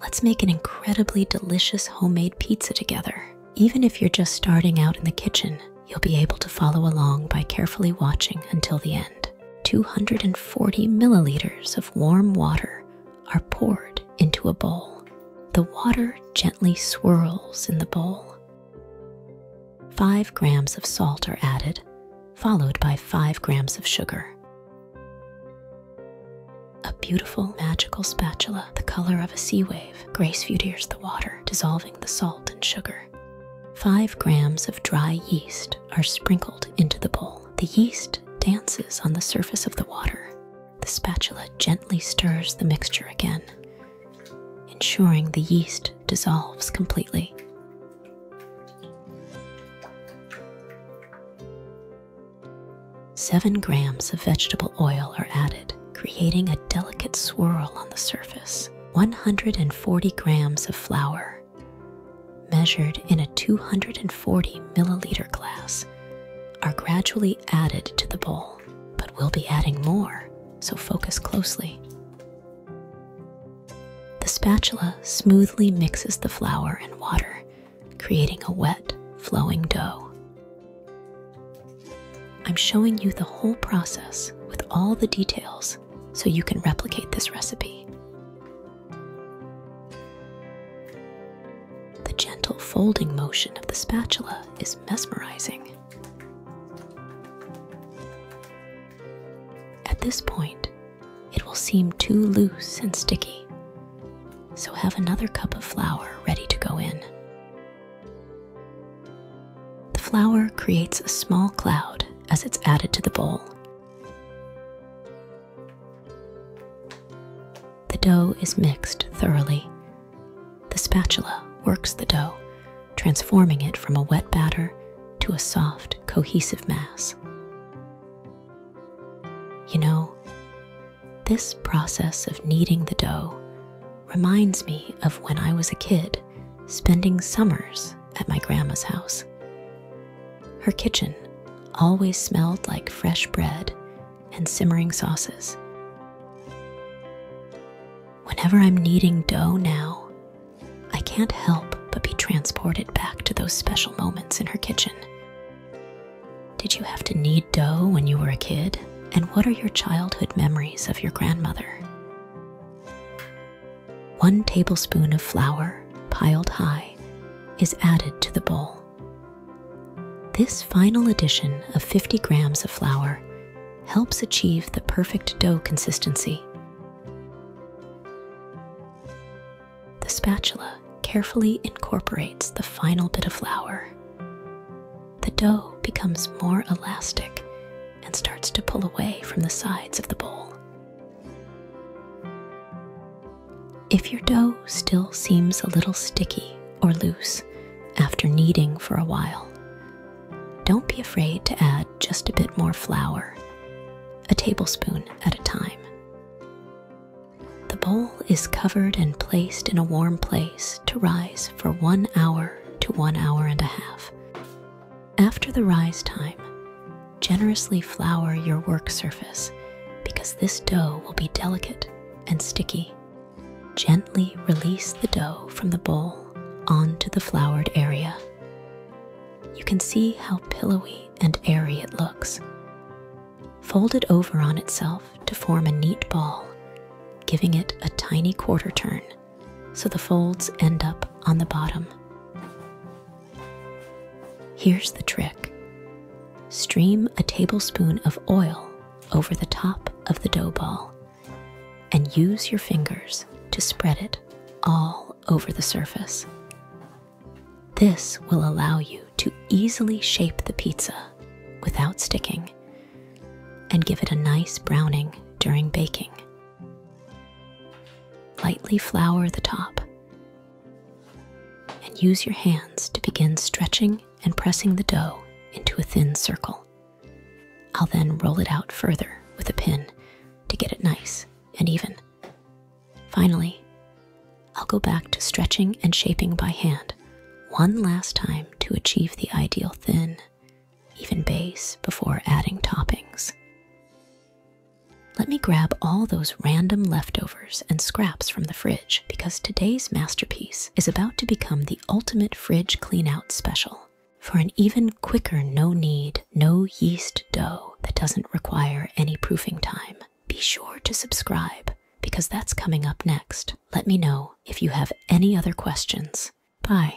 Let's make an incredibly delicious homemade pizza together. Even if you're just starting out in the kitchen, you'll be able to follow along by carefully watching until the end. 240 milliliters of warm water are poured into a bowl. The water gently swirls in the bowl. 5 grams of salt are added followed by 5 grams of sugar. A beautiful magical spatula, the color of a sea wave, grace futiers the water, dissolving the salt and sugar. 5 grams of dry yeast are sprinkled into the bowl. The yeast dances on the surface of the water. The spatula gently stirs the mixture again, ensuring the yeast dissolves completely. Seven grams of vegetable oil are added, creating a delicate swirl on the surface. 140 grams of flour, measured in a 240 milliliter glass, are gradually added to the bowl, but we'll be adding more, so focus closely. The spatula smoothly mixes the flour and water, creating a wet, flowing dough. I'm showing you the whole process with all the details so you can replicate this recipe. The gentle folding motion of the spatula is mesmerizing. At this point, it will seem too loose and sticky, so have another cup of flour ready to go in. The flour creates a small cloud as it's added to the bowl. The dough is mixed thoroughly the spatula works the dough, transforming it from a wet batter to a soft, cohesive mass. You know, this process of kneading the dough reminds me of when I was a kid spending summers at my grandma's house. Her kitchen always smelled like fresh bread and simmering sauces. Whenever I'm kneading dough now, I can't help but be transported back to those special moments in her kitchen. Did you have to knead dough when you were a kid? And what are your childhood memories of your grandmother? One tablespoon of flour, piled high, is added to the bowl. This final addition of 50 grams of flour helps achieve the perfect dough consistency. The spatula carefully incorporates the final bit of flour. The dough becomes more elastic and starts to pull away from the sides of the bowl. If your dough still seems a little sticky or loose after kneading for a while, don't be afraid to add just a bit more flour, a tablespoon at a time. The bowl is covered and placed in a warm place to rise for one hour to one hour and a half. After the rise time, generously flour your work surface because this dough will be delicate and sticky. Gently release the dough from the bowl onto the floured area. You can see how pillowy and airy it looks. Fold it over on itself to form a neat ball, giving it a tiny quarter turn so the folds end up on the bottom. Here's the trick stream a tablespoon of oil over the top of the dough ball and use your fingers to spread it all over the surface. This will allow you to easily shape the pizza without sticking and give it a nice browning during baking. Lightly flour the top and use your hands to begin stretching and pressing the dough into a thin circle. I'll then roll it out further with a pin to get it nice and even. Finally, I'll go back to stretching and shaping by hand one last time to achieve the ideal thin, even base, before adding toppings. Let me grab all those random leftovers and scraps from the fridge because today's masterpiece is about to become the ultimate fridge cleanout special for an even quicker no need, no yeast dough that doesn't require any proofing time. Be sure to subscribe because that's coming up next. Let me know if you have any other questions. Bye.